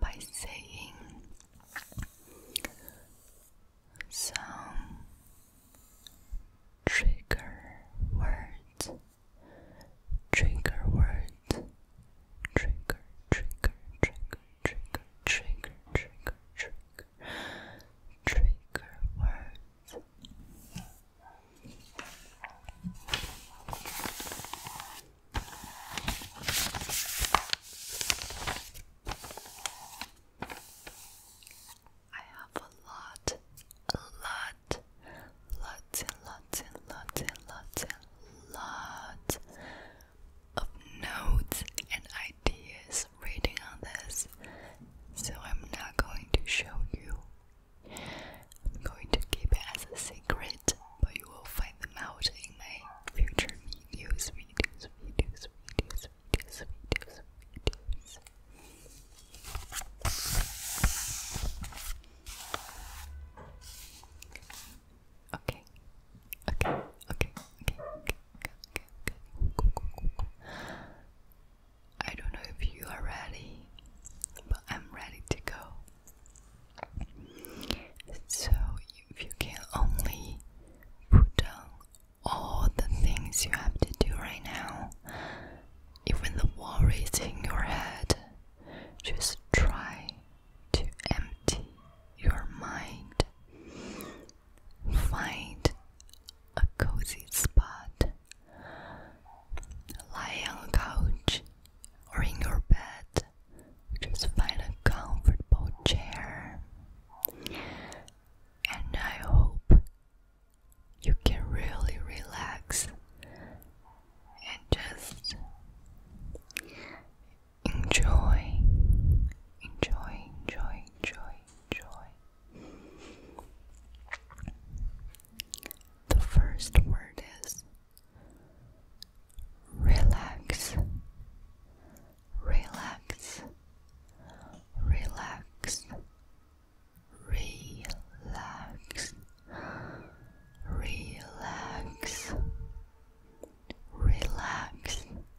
by saying some trigger words, trigger words, trigger, trigger, trigger, trigger, trigger, trigger trigger words. I have a lot, a lot, lots and lots and lots and lots and lots of notes and ideas reading on this, so I'm not going to show you. I'm going to keep it as a secret, but you will find them out in my future videos, videos, videos, videos, videos, videos, videos. Okay. Okay. Okay. Okay. I don't know if you are ready, but I'm ready to go. So, if you can only put down all the things you have to do right now, even the worries in your head, just try to empty your mind find a cozy spot, lie on a couch or in your bed. Just find a comfortable chair, and I hope you can really relax and just enjoy, enjoy, enjoy, enjoy, enjoy. The first word is relax, relax, relax, relax, relax, relax,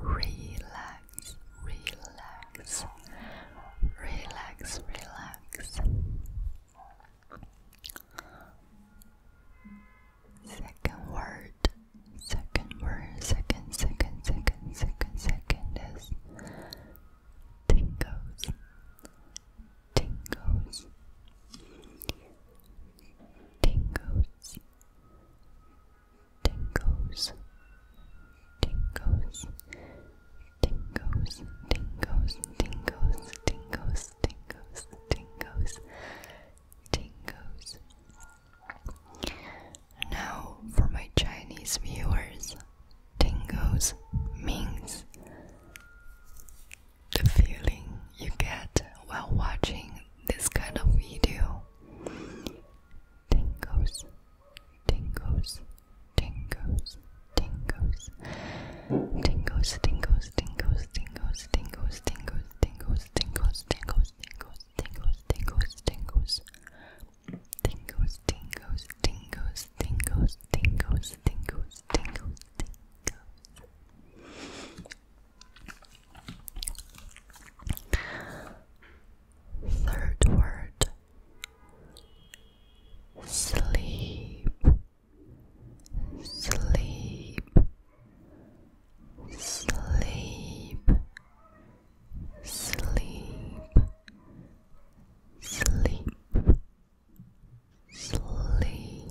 relax, relax, relax, relax. Second word, second word, second, second, second, second, second is tingles, tingles, tingles, Tingles, tingles, tingles, tingles, tingles, tingles, tingles, tingles, tingles. Now, for my Chinese viewers, tingles means the feeling you get while watching this kind of video tingle. Tingles, tingles, tingles, tingles. Tingles, tingles, tingles, tingles, tingles, tingles, tingles, tingles, tingles, tingles, tingles, tingles, tingles. Tingles, tingles, tingles, tingles, tingles, tingles, tingles, tingles. Third word sleep, sleep, sleep, sleep, sleep, sleep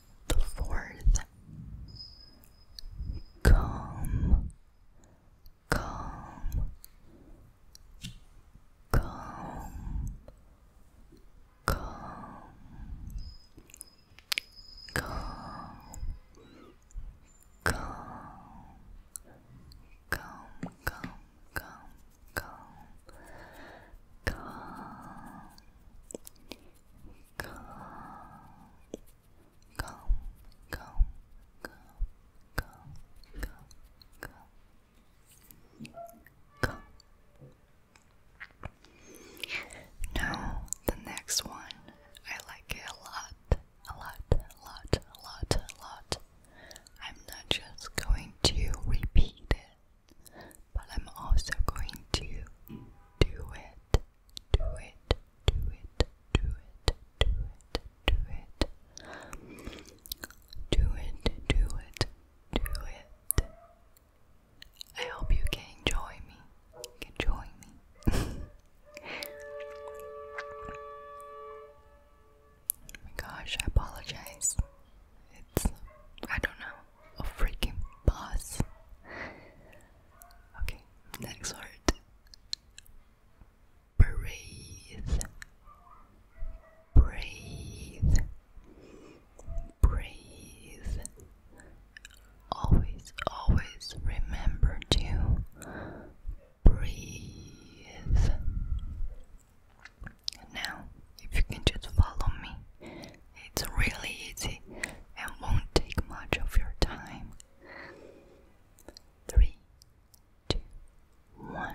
the fourth. Calm, calm, calm, calm, calm, calm, calm, calm, calm, calm, calm, calm, calm, calm, calm, calm, calm, calm, calm. Now the next one, I like it a lot, a lot, a lot, a lot, a lot. I'm not just going to repeat it. But I'm also going to do it, do it, do it, do it, do it, do it, do it, do it, do it. I hope you can enjoy me, can join me. Oh my gosh, I apologize. It's, I don't know a freaking boss. Okay, next word. Breathe. Breathe. Breathe. Always, always remember to breathe. now, if you can just follow me it's really easy and won't take much of your time. Three, two, one.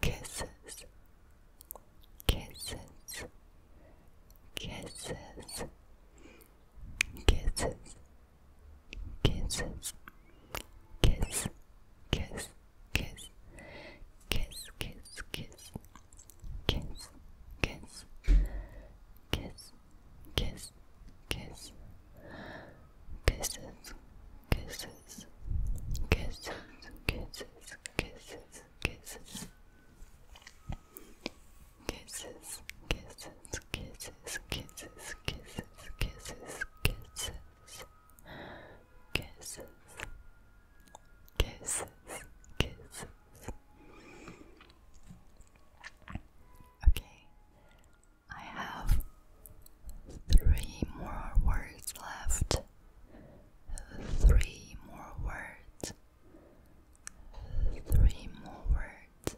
Kisses, kisses, kisses, kisses, kisses, kiss, kiss, kiss, kiss, kiss, kiss, kiss, kiss, kiss, kiss, kiss, kisses, kisses, kisses, kisses, kisses, kisses. Kisses, kisses, kisses, kisses, kisses, kisses, kisses, kisses, kisses, kisses, Okay, I have three more words left. Three more words. Three more words.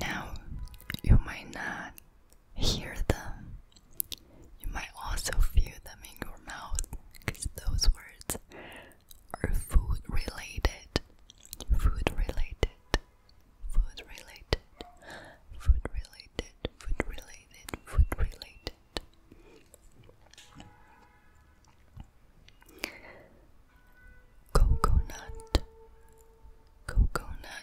Now, you might not hear them, you might also feel them in your mouth because those words are food related. Food related. Food related. Food related. Food related. Food related. Coconut. Coconut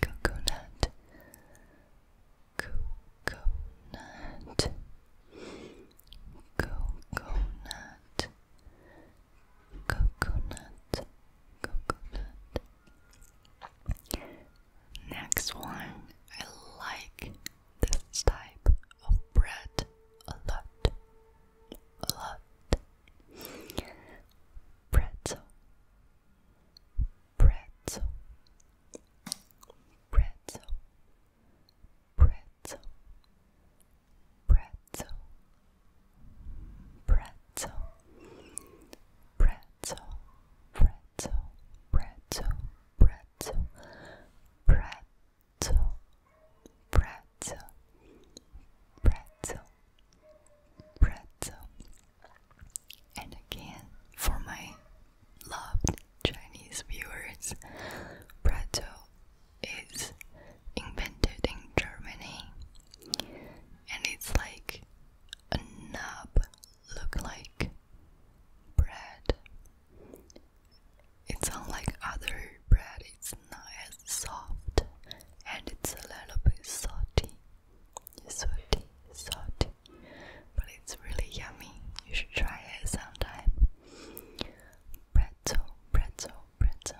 coconut coconut coconut coconut coconut next one I like this type of bread a lot lot. Pretzel, pretzel, pretzel, pretzel, pretzel, pretzel, pretzel, pretzel, pretzel, pretzel, pretzel. Pretzel, pretzel, pretzel. And again, for my loved Chinese viewers, pretzel is invented in Germany and it's like a nub look like bread. It's unlike other bread is not as soft and it's a little bit salty. Salty, salty. But it's really yummy. You should try it sometime. Pretzel, pretzel, pretzel.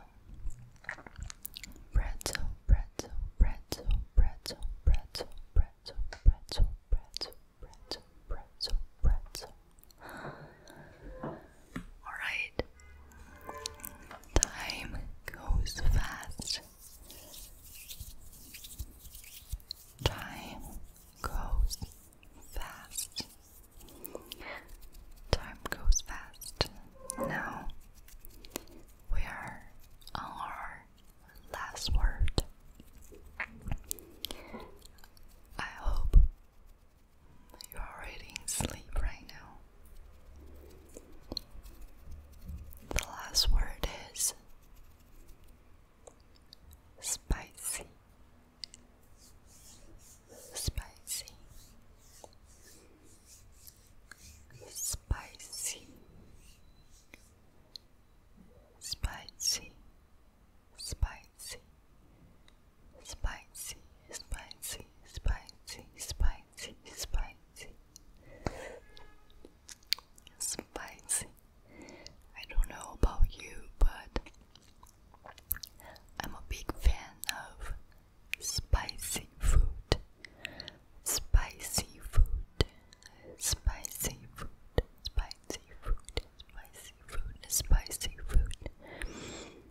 Pretzel, pretzel, pretzel, pretzel, pretzel, pretzel, pretzel, pretzel, pretzel, Alright. Time goes fast. Time goes fast. Time goes fast. Now we are on our last word. I hope you're already in sleep right now. The last word is spicy. Spicy. Spicy. Spicy. Spicy spicy, spicy, spicy, spicy, spicy, spicy. I don't know about you, but I'm a big fan of spicy food, spicy food, spicy food, spicy food, spicy food, spicy food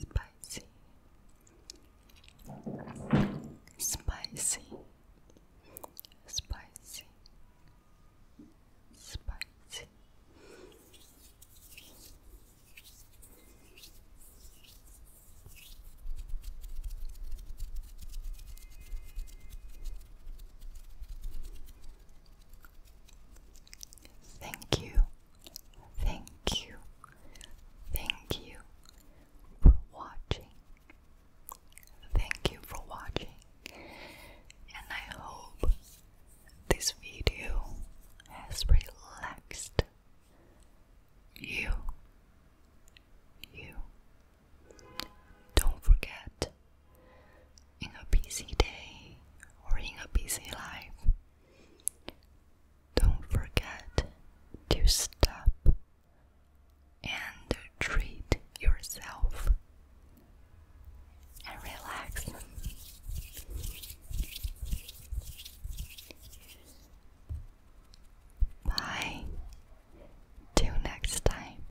spicy, spicy, spicy, spicy. Thank you Thank you, thank you for watching. Thank you for watching, and I hope this video has relaxed you. You don't forget in a busy day or in a busy life. Don't forget to stop and treat yourself and relax. Bye. Till next time.